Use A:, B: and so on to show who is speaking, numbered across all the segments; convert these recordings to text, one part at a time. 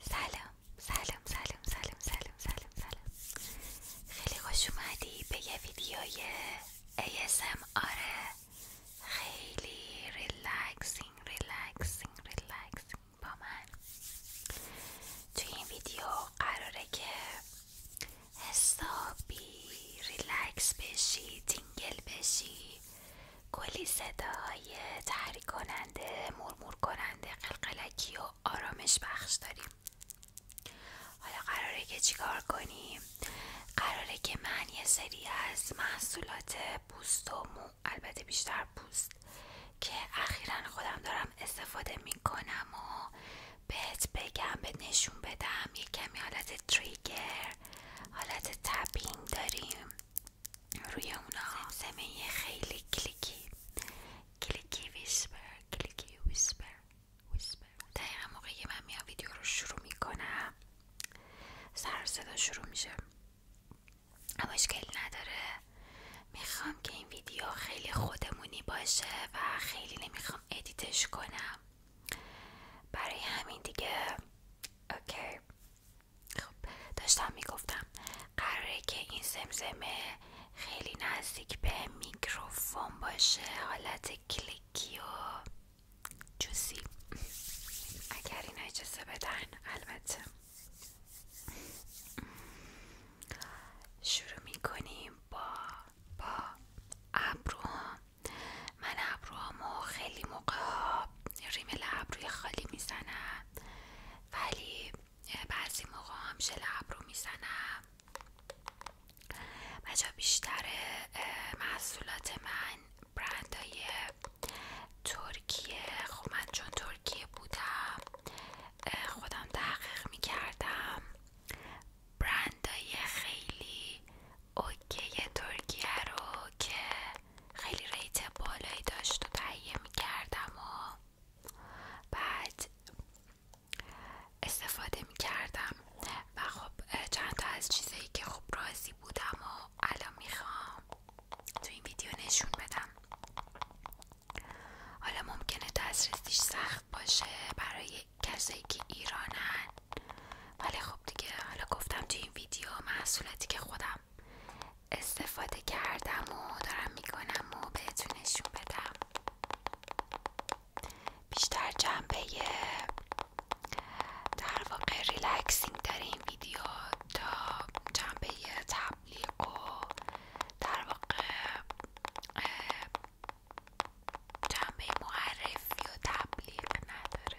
A: سلام سلام سلام سلام سلام سلام سلام خیلی خوش به یه ویدیوی ASMR خیلی ریلکسینگ ریلکسینگ ریلکسینگ با تو این ویدیو قراره که حسابی ریلکس بشی تینگل بشی کلی صداهای تحریک کننده مرمور کننده قلقلکی و آرامش بخش داریم حالا قراره که چیکار کنیم قراره که من یه سری از محصولات پوست و مو البته بیشتر پوست که اخیرا خودم دارم استفاده میکنم و بهت بگم به نشون بدم یه کمی حالت تریگر حالت تپینگ داریم روی اونا زمین خیلی کلیکی کلیکی ویسپر کلیکی ویسپر موقعی من میام ویدیو رو شروع میکنم سر صدا شروع میشه اما اشکالی نداره میخوام که این ویدیو خیلی خودمونی باشه و خیلی نمیخوام ادیتش کنم برای همین دیگه اوکی خب داشتم میگفتم قراره که این زمزمه خیلی نزدیک به میکروفون باشه حالت کلیکی و جوسی اگر اینا اجازه بدن البته شروع میکنیم با با ابرو من ابروامو خیلی موقع ریمل ابروی خالی میزنم ولی بعضی موقع هم ژل رو میزنم و بیشتر محصولات من برندهای ترکیه خب من چون ترکیه بودم خودم تحقیق میکردم برندهای خیلی اوکی ترکیه رو که خیلی ریت بالایی داشت و تهیه میکردم و بعد استفاده میکردم و خب چند تا از چیزایی که خب راضی بودم و الان میخوام تو این ویدیو نشون بدم حالا ممکنه دسترسیش سخت باشه برای کسایی که ایرانن ولی خب دیگه حالا گفتم تو این ویدیو محصولاتی که خودم استفاده کردم و دارم میکنم و بهتون نشون بدم بیشتر جنبه در واقع ریلکسینگ داره این ویدیو تا جنبه تبلیغ و در واقع جنبه معرفی و تبلیغ نداره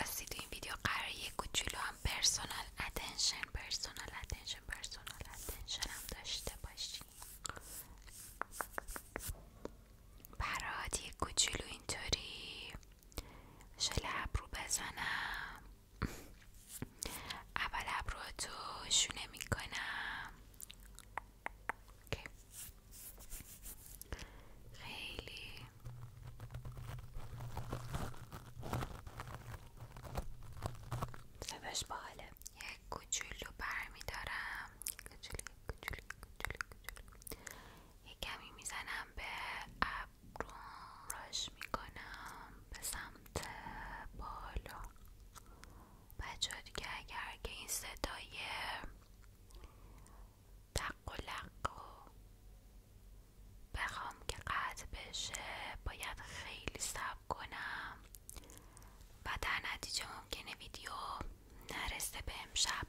A: راستی تو این ویدیو قرار یک کوچولو هم پرسونال اتنشن پرسونال اتنشن پرسونال اتنشن هم داشته باشی برات یک کوچولو اینطوری شل ابرو بزنم اول ابرو تو شونه میکنم خیلی صداش باحاله یک کوچولو برمیدارم کوچولو یک کمی میزنم به ابرو راش میکنم به سمت بالا بچه ها دیگه اگر که این صدای دق و بخوام که قطع بشه باید خیلی صبر کنم و در نتیجه ممکنه ویدیو نرسه به امشب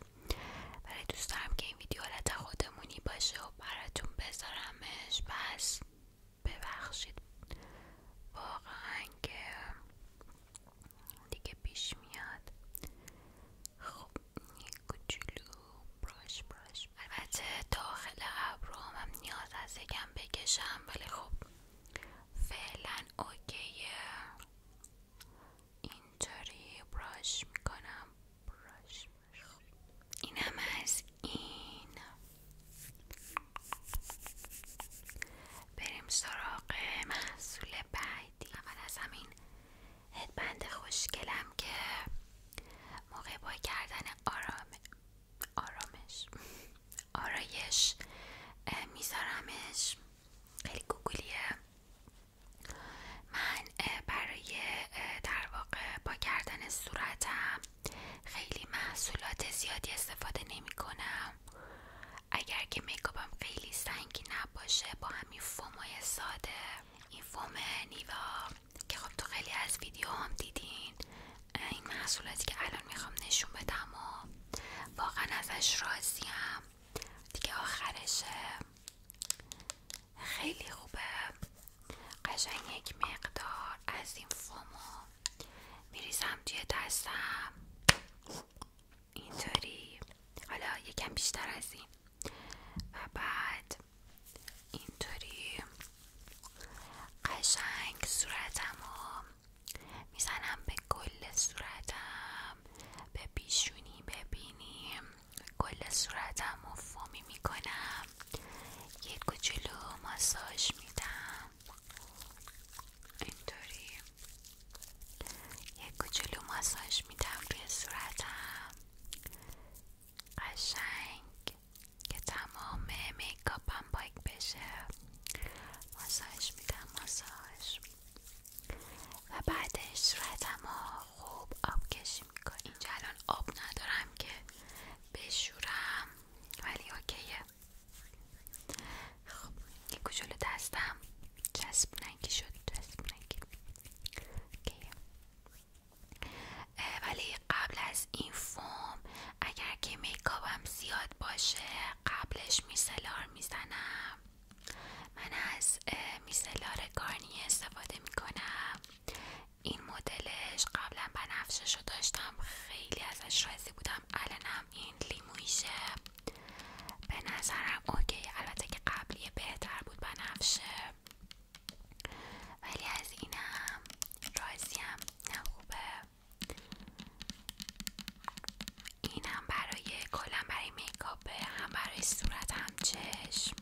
A: ولی دوست دارم که این ویدیو حالت خودمونی باشه و براتون بذارمش پس ببخشید واقعا که دیگه پیش میاد خب یک کوچولو براش براش البته داخل قبل هم نیاز از یکم بکشم ولی خب فعلا اوکیه اینجوری براش میکنم براش خب اینم از این بریم سراغ محصول بعدی اول از همین هدبند خوشگلم که موقع با کردن آرام آرامش آرایش میذارمش خیلی گوگولیه من برای در واقع با کردن صورتم خیلی محصولات زیادی استفاده نمی کنم اگر که میکاپم خیلی سنگی نباشه با همین های ساده این فوم نیوا که خب تو خیلی از ویدیو هم دیدین این محصولاتی که الان میخوام نشون بدم و واقعا ازش راضیم دیگه آخرش خیلی خوبه قشنگ یک مقدار از این فومو میریزم توی دستم اینطوری حالا یکم بیشتر از این و بعد اینطوری قشنگ صورتم رو میزنم به کل صورتم به پیشونی ببینیم کل صورتم رو می‌کنم میکنم یه کوچولو ماساژ میدم اینطوری یک کوچولو ماساژ میدم روی صورتم قشنگ که تمام میکاپم پاک بشه ماساژ میدم ماساژ و بعدش صورتم خوب آب کشی میکنم اینجا الان آب ندارم که بشورم ولی اوکیه خب این دستم چسب نگی شد چسب نگی ولی قبل از این فوم اگر که میکاپم زیاد باشه قبلش میسلار میزنم من از میسلار گارنی استفاده میکنم این مدلش قبلا بنفشش رو داشتم خیلی ازش راضی بودم هم این لیمویشه به نظرم اوکی البته که قبلی بهتر بود نفشه ولی از اینم راضیم نه خوبه اینم برای کلم برای میکاپه هم برای صورت هم چشم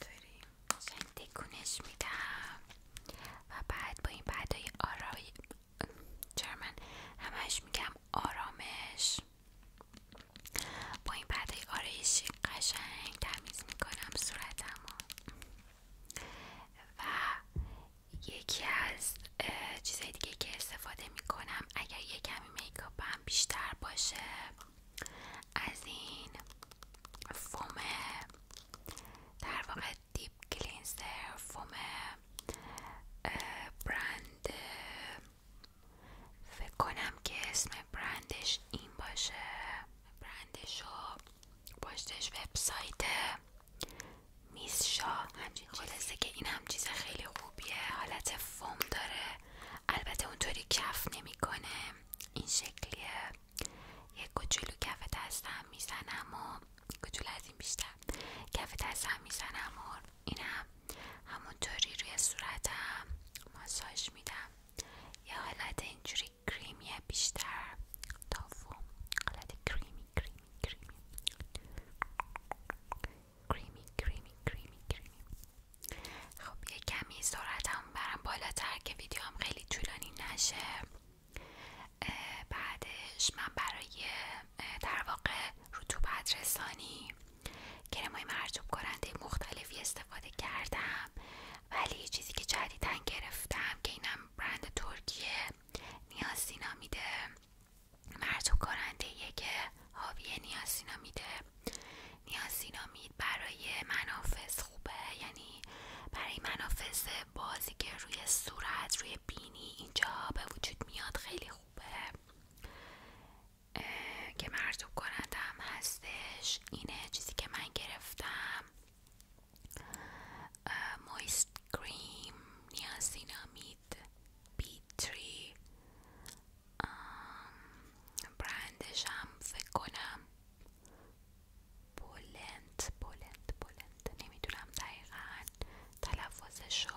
A: داریم تکونش میدم و بعد با این بعدای آرای جرمن همش میگم آرامش با این پرده آرایشی قشنگ تمیز میکنم صورتمو و یکی از چیزهای دیگه که استفاده میکنم اگر یه کمی میکاپم بیشتر باشه از این فوم در واقع دیپ کلینزر فوم برند فکر کنم که اسم برندش این باشه برندش و پشتش وبسایت میز شا همچین خلاصه که این هم چیز خیلی خوبیه حالت فوم داره البته اونطوری کف نمیکنه این شکلیه یک کوچولو کف دستم میزنم و کوچولو از این بیشتر کف دستم میزنم و اینم همونطوری روی صورتم ماساژ میدم یه حالت اینجوری کریمیه بیشتر تافو حالت کریمی کریمی کریمی کریمی کریمی کریمی کریمی خب یه کمی صورتم برم بالاتر که ویدیو هم خیلی طولانی نشه بعدش من برای در واقع رطوبت رسانی کرمای مرتوب کننده مختلفی استفاده کردم ولی یه چیزی که جدیدن گرفتم که اینم برند ترکیه نیاسینا میده مرتوب کننده یه که حاوی میده نیاسینامید برای منافذ خوبه یعنی برای منافذ بازی که روی صورت روی بینی اینجا به وجود میاد خیلی خوبه که مرتوب کندم هستش اینه چیزی که من گرفتم مویست کریم نیازینامید بیتری برندش هم فکر کنم بولند بلند بولند نمیدونم دقیقا تلفظ رو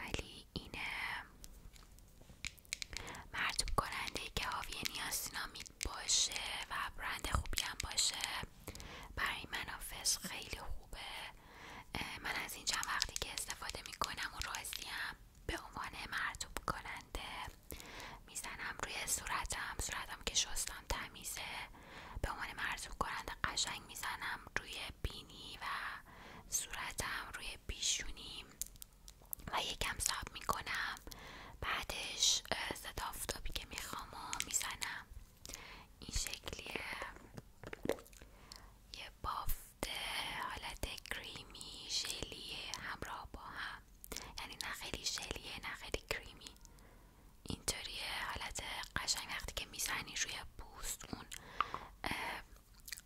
A: ولی این مرتوب کننده که حاوی نیاسینامید باشه و برند خوبی هم باشه برای منافذ خیلی خوبه من از این چند وقتی که استفاده میکنم و راضیم به عنوان مرتوب کننده میزنم روی صورتم صورتم که شستم تمیزه به عنوان مرتوب کننده قشنگ میزنم روی بینی و صورتم روی پیشونی و یکم ساب میکنم بعدش صدا آفتابی که میخوام و میزنم این شکلیه یه بافت حالت کریمی شلی همراه با هم یعنی نه خیلی ژلیه نه خیلی کریمی اینطوریه حالت قشنگ وقتی که میزنی روی پوست اون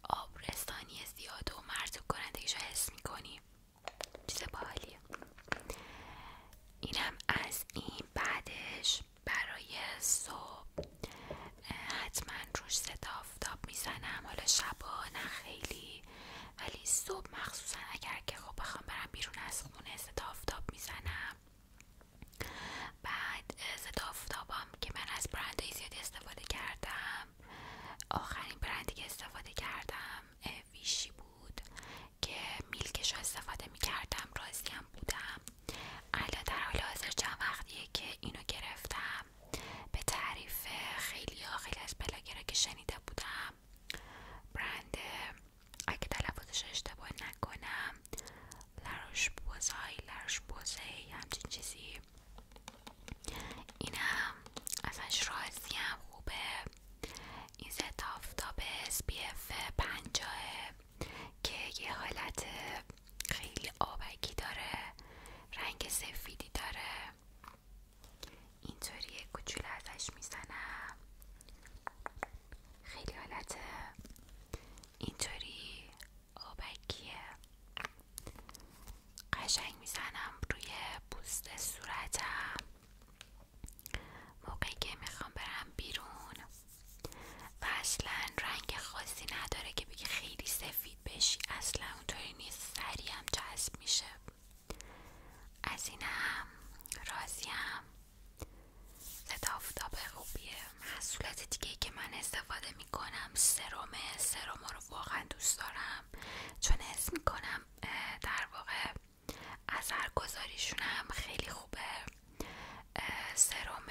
A: آبرستانی زیاد و مرتوب کنندگیش رو حس میکنی چیز باحالیه اینم از این بعدش برای صبح حتما روش زد آفتاب میزنم حالا شبا نه خیلی ولی صبح مخصوصا اگر که خب بخوام برم بیرون از خونه زد آفتاب میزنم بعد ضد آفتابام که من از برندهای زیادی استفاده کردم آخرین برندی که استفاده کردم ویشی بود که میلکش رو استفاده میکردم راضیم بودم الان در حال حاضر چند وقتیه که اینو گرفتم به تعریف خیلی ها خیلی از بلاگرها که شنیده بودم برند اگه تلفظش اشتباه نکنم لروش بوزای لروش بوزه همچین چیزی اینم ازش هم خوبه این ست آفتاب SPF 50 که یه حالت خیلی آبکی داره رنگ سفیدی داره اینطوری کوچولو ازش میزنم خیلی حالته اینطوری آبکیه قشنگ میزنم روی پوست صورتم موقعی که میخوام برم بیرون و اصلا رنگ خاصی نداره که بگی خیلی سفید بشی اصلا اونطوری نیست هم جذب میشه از اینم راضیم ضد آفتاب خوبیه محصولات دیگه که من استفاده میکنم سرمه سرما رو واقعا دوست دارم چون حس میکنم در واقع اثرگذاریشون هم خیلی خوبه سرم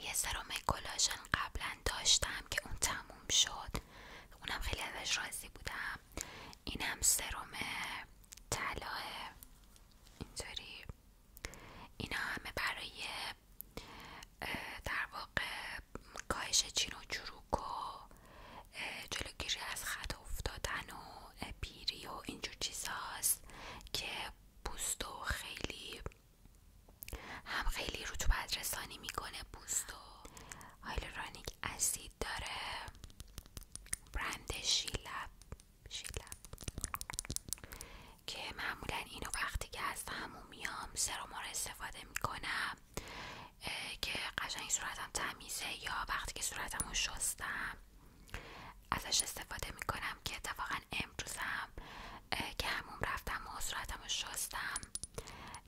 A: یه سرم کلاژن قبلا داشتم که اون تموم شد اونم خیلی ازش راضی بودم اینم سرم طلاه اینطوری اینا همه برای در واقع کاهش چین و چروک و جلوگیری از خط افتادن و پیری و اینجور چیز که پوستو خیلی هم خیلی رطوبت رسانی میکنه و هایلورونیک اسید داره برند شیلب که معمولا اینو وقتی که از همون میام رو استفاده میکنم که قشنگ صورتم تمیزه یا وقتی که صورتمو شستم ازش استفاده میکنم که اتفاقا امروزم که هموم رفتم و صورتم شستم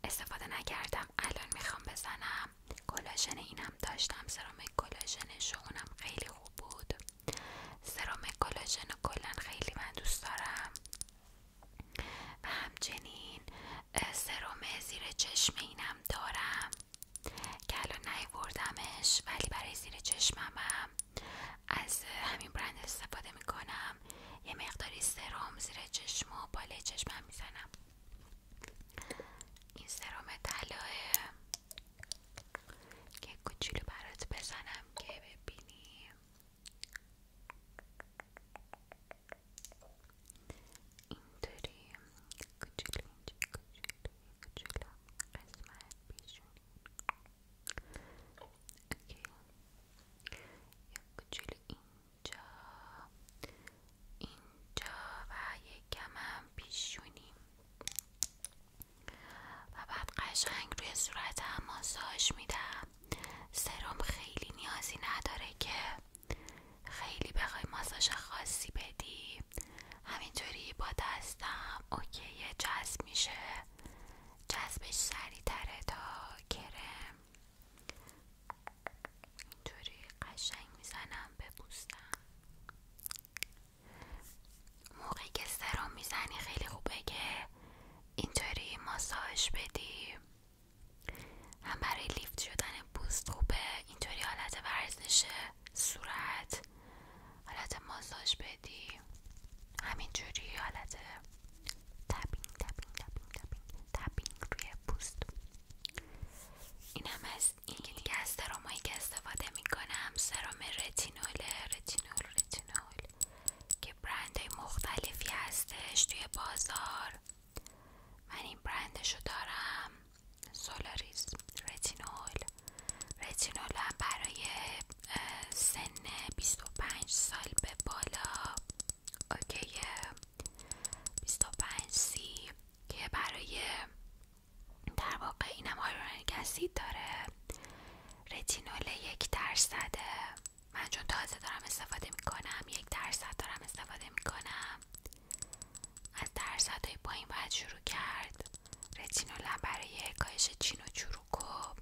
A: استفاده نکردم الان میخوام بزنم کلاژن اینم داشتم سرام کلاژن شونم خیلی خوب بود سرام کلاژن کلا خیلی من دوست دارم و همچنین سرم زیر چشم اینم دارم که الان نیوردمش ولی برای زیر چشمم هم از همین برند استفاده میکنم یه مقداری سرم زیر چشم و بالای چشمم میزنم این سرم طلاه که کوچولو برات بزنم که ببینیم اینطوری کوچولو اینجا کوچولو کوچولو قسمت پیشونی اوکی یک کوچولو اینجا اینجا و یکم هم پیشونیم و بعد قشنگ روی صورتم ماساژ میدم سرم خیلی نیازی نداره که خیلی بخوای ماساش خاصی بدی همینطوری با دستم اوکی جذب میشه جذبش سریعتره تا کرم اینطوری قشنگ میزنم به موقعی که سرم میزنی خیلی خوبه که اینطوری ماساژ بدی هم برای لیفت شدن پوست خوبه اینطوری حالت ورزش صورت حالت ماساژ بدی همینجوری حالت تپینگ تپینگ تپینگ روی پوست این هم از این دیگه از سرامایی که استفاده میکنم سرام رتینول رتینول رتینول که برند مختلفی هستش توی بازار من این برندشو دارم سولاریسم. رتینول رتینول هم برای سن 25 سال به بالا اوکی 25 سی که برای در واقع اینم آیرونیک کسی داره رتینول یک درصده من چون تازه دارم استفاده میکنم یک درصد دارم استفاده میکنم از درصدهای پایین باید شروع کرد رتینولم برای کاهش چین و چروک و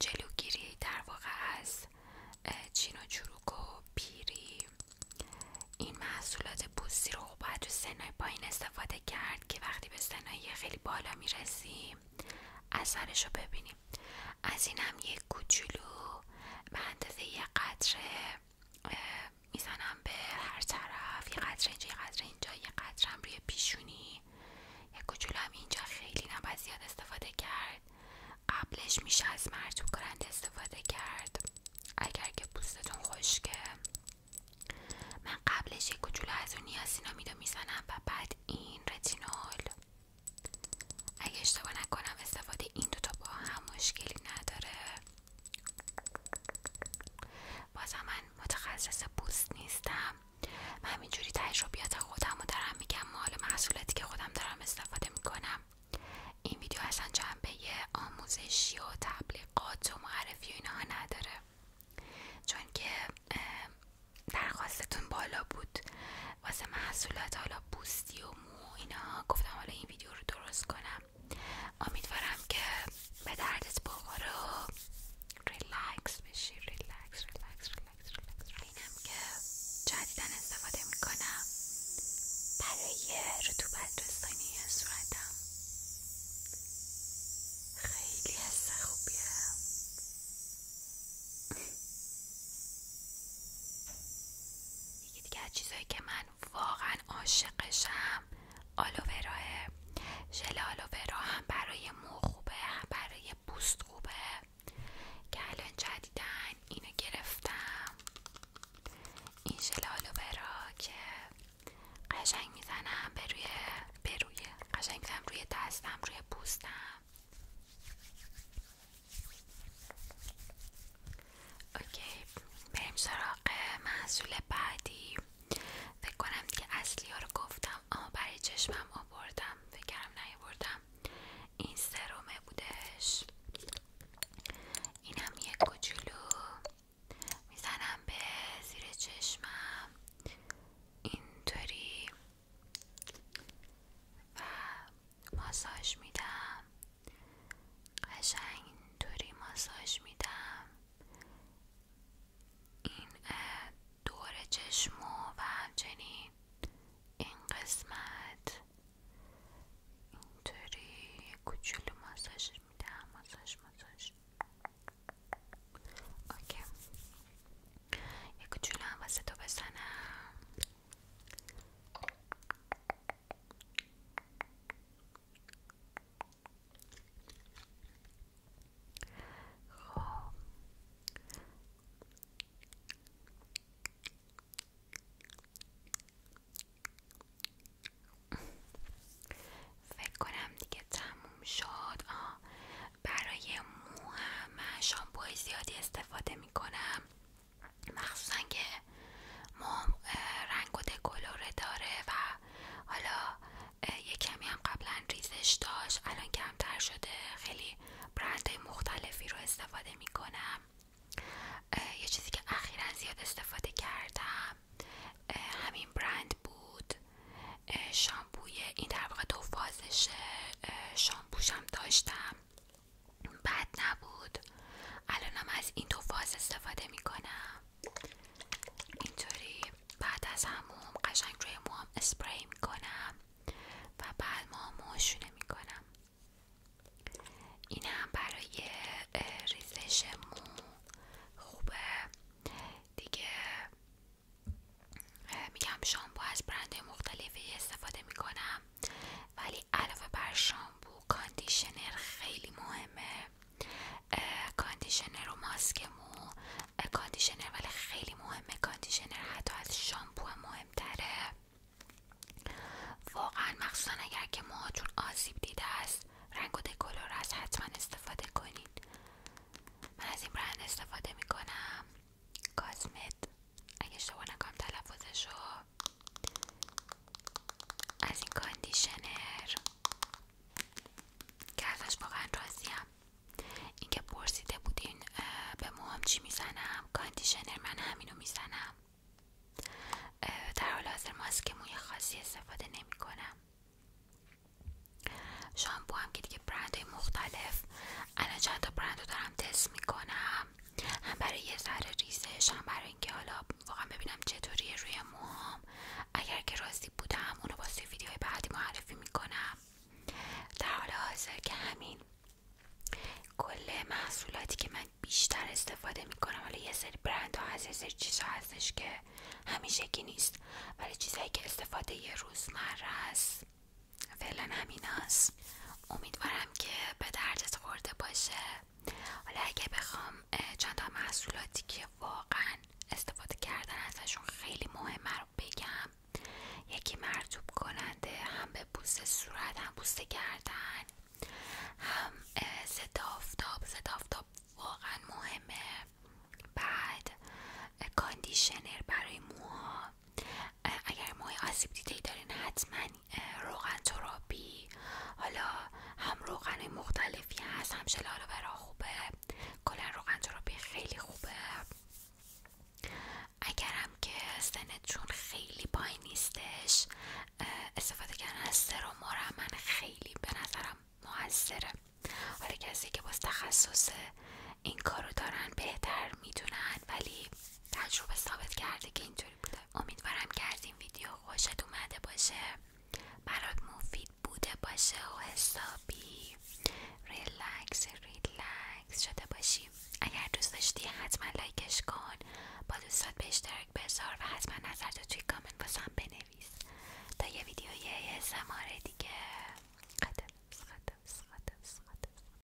A: جلوگیری در واقع از چین و چروک و پیری این محصولات پوستی رو باید تو سنای پایین استفاده کرد که وقتی به سنایی خیلی بالا از اثرش رو ببینیم از از هم یک کوچولو به اندازه یه قطره میزنم به هر طرف یه قطره اینجا یه قطره اینجا قطرم روی پیشونی یه کوچولو هم اینجا خیلی نباید زیاد استفاده کرد قبلش میشه از مرتوب کننده استفاده کرد اگر که پوستتون خشکه من قبلش یه کوچولو از اون نیاسینامیدو میزنم و بعد این رتینول اگه اشتباه نکنم استفاده این دوتا با هم مشکلی نداره بازم من متخصص پوست نیستم من همینجوری تجربیات خودم رو دارم میگم مال محصولاتی که خودم دارم استفاده میکنم این ویدیو اصلا جنبه آموزشی و تبلیغات و معرفی و اینها نداره چون که درخواستتون بالا بود واسه محصولات حالا بوستی و مو اینا گفتم حالا این ویدیو رو درست کنم امیدوارم که به دردت بخوره و ریلکس بشی ریلکس ریلکس ریلکس ریلکس اینم که جدیدن استفاده میکنم برای رطوبت رسانی صورتم خیلی حس خوبیه یکی دیگه از چیزایی که من واقعا عاشقشم آلووراه شل آلوورا هم برای مو خوبه هم برای پوست خوبه که الان جدیدن اینو گرفتم این شل آلوورا که قشنگ میزنم به به روی قشنگ میزنم روی دستم روی پوستم اوکی بریم سراغ محصول بعدی فکر کنم دیگه اصلی ها رو گفتم اما برای چشمم آوردم فکرم نیاوردم این سرومه بودش اینم یک کوچولو میزنم به زیر چشمم اینطوری و ماساژ میدم قشنگ اینطوری ماساژ میدم این دور چشم و همچنین این قسمت اینطوری کوچولو ماساژ میدم ماساژ ماساژ اوکی یک جوله هم واسه تو بزنم خب. فکر کنم دیگه تموم شد برای مو هم من زیادی استفاده میکنم مخصوصا که مو رنگ و دکلوره داره و حالا یه کمی هم قبلا ریزش داشت الان کمتر شده خیلی برندهای مختلفی رو استفاده میکنم یه چیزی که اخیرا زیاد استفاده کردم همین برند بود شامپوی این در واقع دو شامپوشم داشتم بد نبود الانم از این دو فاز استفاده میکنم اینطوری بعد از همون قشنگ روی موام اسپری میکنم و بعد موامو شونه میکنم این هم برای ریزش مو خوبه دیگه میگم شامپو از برند مختلفی استفاده میکنم ولی علاوه بر شامپو کاندیشنر خیلی مهمه کاندیشنر و ماسک مو کاندیشنر ولی خیلی مهمه کاندیشنر حتی از شامپو مهمتره واقعا مخصوصا اگر که موهاتون آسیب دیده است رنگ و از است حتما استفاده کنید من از این برند استفاده میکنم کاسمت اگه اشتباه نکنم تلفظش رو از این کاندیشنر که ازش واقعا راضیم اینکه پرسیده بودین به موهام چی میزنم کاندیشنر من همینو میزنم در حال حاضر ماسک موی خاصی استفاده نمی کنم شامپو هم که دیگه برند های مختلف الان چند تا برند رو دارم تست میکنم هم برای یه سر ریزش هم برای اینکه حالا واقعا ببینم چطوریه روی موام اگر که راضی بودم اونو با توی ویدیوهای بعدی معرفی میکنم در حال حاضر که همین کل محصولاتی که من بیشتر استفاده میکنم حالا یه سری برند ها هست یه سری چیزها هستش که همیشگی نیست ولی چیزهایی که استفاده یه روزمره است فعلا همین هست. امیدوارم که به دردت خورده باشه حالا اگه بخوام چند تا محصولاتی که واقعا استفاده کردن ازشون خیلی مهمه رو بگم یکی مرتوب کننده هم به بوست صورت هم کردن، هم ضد آفتاب واقعا مهمه بعد کاندیشنر برای موها اگر موی آسیب دیده ای دارین حتما روغن ترابی حالا هم روغن مختلفی هست هم شلال برا خوبه کلا روغن ترابی خیلی خوبه اگرم که چون خیلی پای نیستش استفاده کردن از و من خیلی به نظرم موثره حالا کسی که باز تخصصه، این کارو دارن بهتر میدونن ولی تجربه ثابت کرده که اینجوری بوده امیدوارم که از این ویدیو خوشت اومده باشه برات مفید بوده باشه و حسابی ریلکس ریلکس شده باشی اگر دوست داشتی حتما لایکش کن با دوستات به اشتراک بذار و حتما نظرتو توی کامنت واسم بنویس تا یه ویدیو یه سماره دیگه قدم